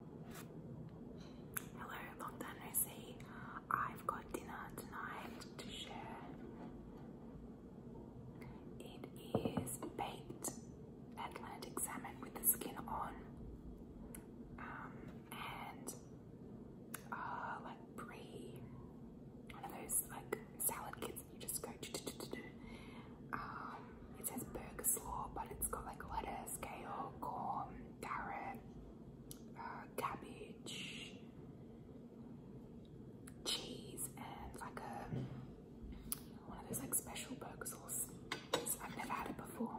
Hello, long time no I've got dinner tonight to share. It is baked Atlantic salmon with the skin on, um, and uh, like brie, one of those like salad kits you just go. Um, it says burger slaw, but it's got like lettuce, kale, corn, carrot, uh, cabbage, cheese, and like a one of those like special burger sauce. I've never had it before.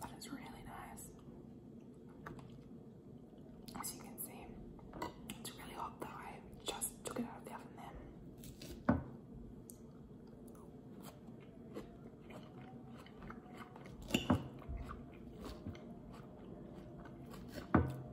That is really nice. As you can see, it's really hot though. I just took it out of the oven then.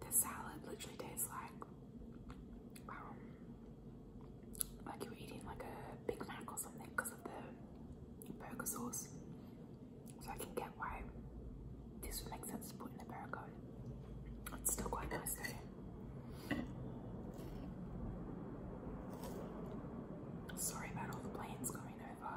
This salad literally tastes like um, like you were eating like a Big Mac or something because of the burger sauce. So I can get why this would make sense to put in a burger. It's still quite nice Sorry about all the planes going over.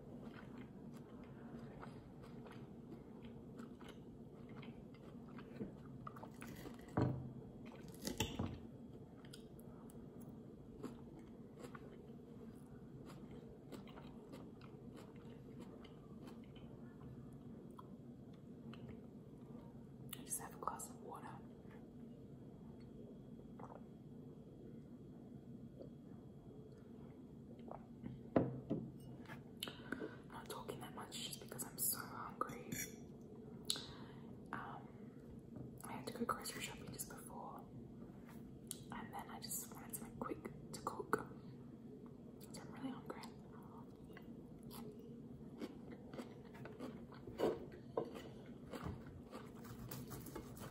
I just have a glass of water i not talking that much just because I'm so hungry. Um, I had to go grocery shopping just before, and then I just wanted something quick to cook. I'm really hungry.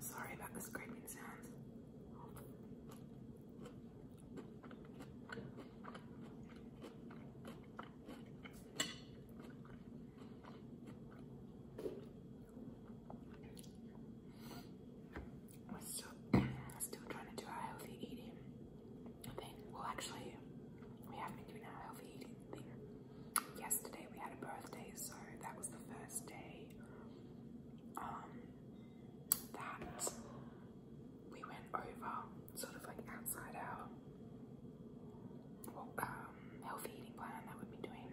Sorry about the scraping sounds. We're still, trying to do our healthy eating thing. Well, actually, we haven't been doing our healthy eating thing. Yesterday we had a birthday, so that was the first day um, that we went over, sort of like outside our um, healthy eating plan that we've been doing.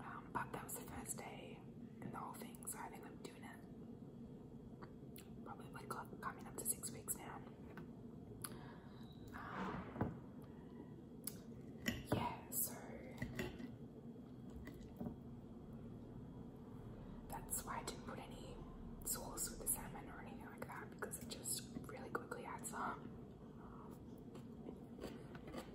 Um, but that was the first day and the whole thing, so I think I'm doing it probably like coming up to six weeks now. Um, yeah, so that's why I didn't put any sauce with the salmon or anything like that because it just really quickly adds up.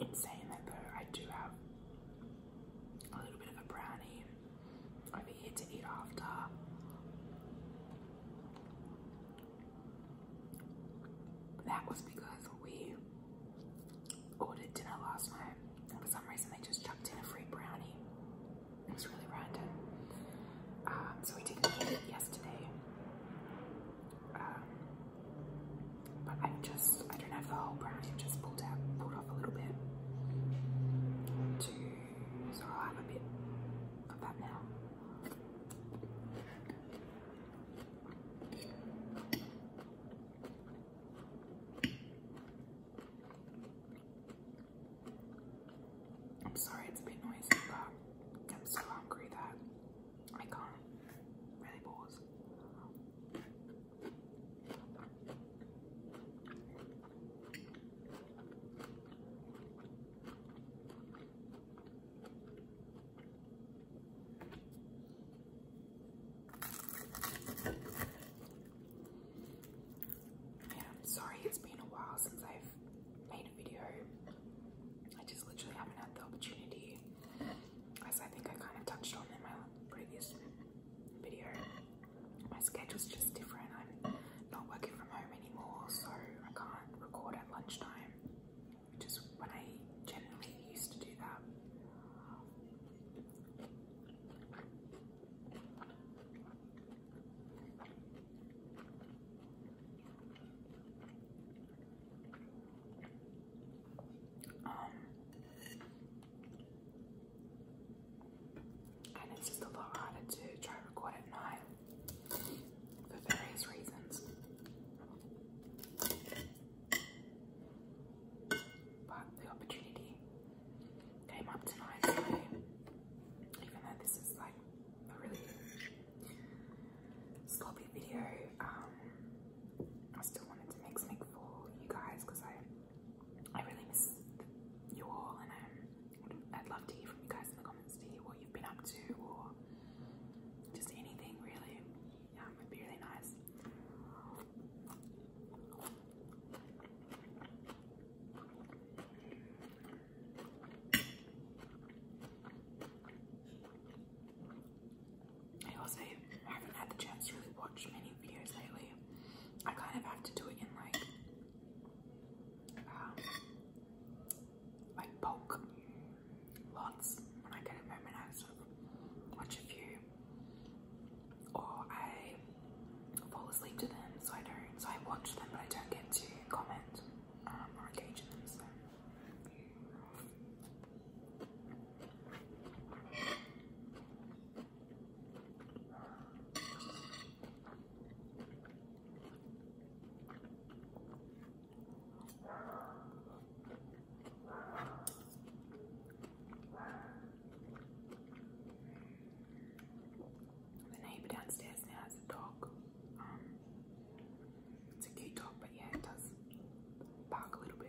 In saying that though, I do have a little bit of a brownie over here to eat after. That was because we ordered dinner last night and for some reason they just chucked in a free brownie. It was really random. Um, so we didn't eat it yesterday. Um, but I just, I don't have the whole brown, I just pulled out, pulled off a little bit. so I'll have a bit of that now. I'm sorry it's a bit noisy, but I'm so hungry that I can't really pause. Yeah, am sorry it's been a while since I've made a video. I just literally haven't had the opportunity as I think I kind of touched on in my previous video, my schedule's just different. I'm not working from home anymore, so I can't record at lunchtime, which is when I generally used to do that. Um, and it's just a lot harder to try record at night for various reasons. But the opportunity came up tonight, so even though this is like a really sloppy video, um, I still wanted to make something for you guys because I I really miss you all and I'd love to hear from you guys in the comments to hear what you've been up to or just anything really. Um, would be really nice. I also haven't had the chance to really watch many videos lately. I kind of have to do it in like um, like bulk lots when I get a moment I sort of watch a few or I fall asleep to them so I don't so I watch them but I don't get to comment um, or engage in them so the neighbor downstairs now has a dog. Um, it's a cute dog, but yeah, it does bark a little bit.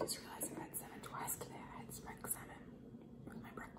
I just realized I've had salmon twice today. I had smoked salmon with my breakfast.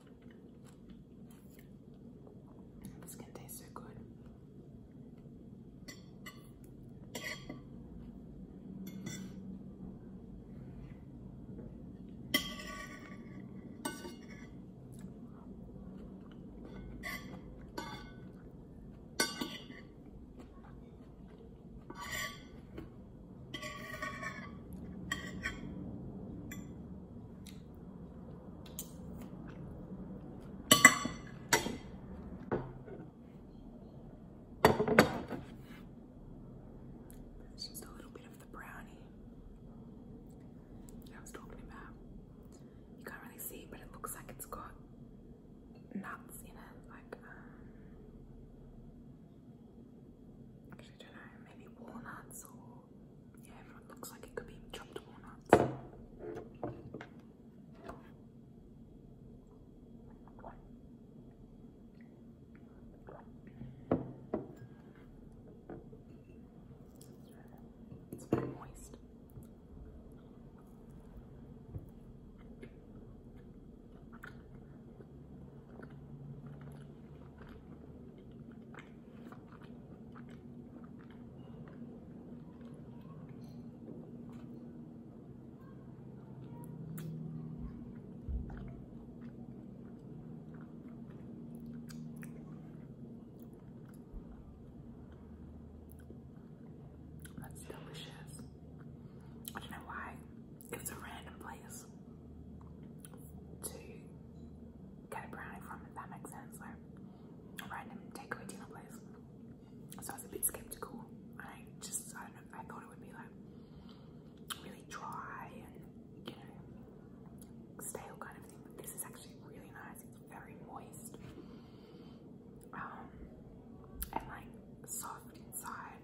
This can taste so good. That's just a little bit of the brownie I was talking about. You can't really see, but it looks like it's got nuts in it, like um, Actually, don't know, maybe walnuts or yeah, looks like it could be chopped walnuts. It's very moist. That's delicious. You know why? It's a random place to get a brownie from, if that makes sense. Like random takeaway dinner place. So I was a bit skeptical. I just, I don't know, I thought it would be like really dry and, you know, stale kind of thing. But this is actually really nice. It's very moist. Um, and like soft inside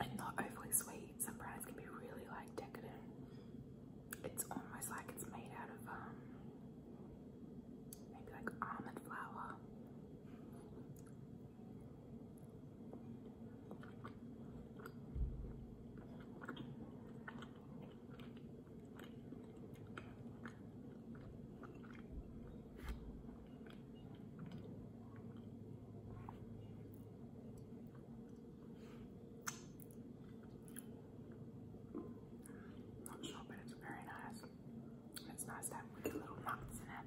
and not overly sweet. Some brands can be really like decadent. It's almost like it's made out of um maybe like almond flour. Not sure, but it's very nice. It's nice to have little nuts in it.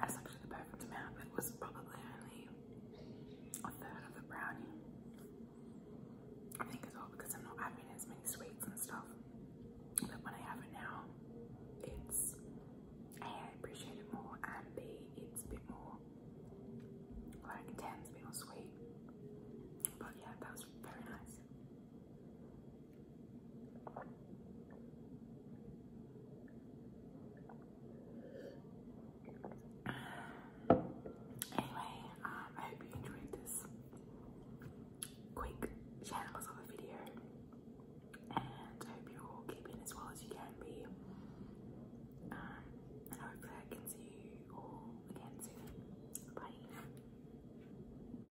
That's actually the perfect amount. It was probably only a third of the brownie. I think as well because I'm not having as many sweets and stuff. But when I have it now, it's A, I appreciate it more, and B, it's a bit more like intense, a bit more sweet. But yeah, that was very nice cheese. Anyway, um, I hope you enjoyed this quick shambles of a video, and I hope you're all keeping as well as you can be. Um, and hopefully, I can see you all again soon. Bye.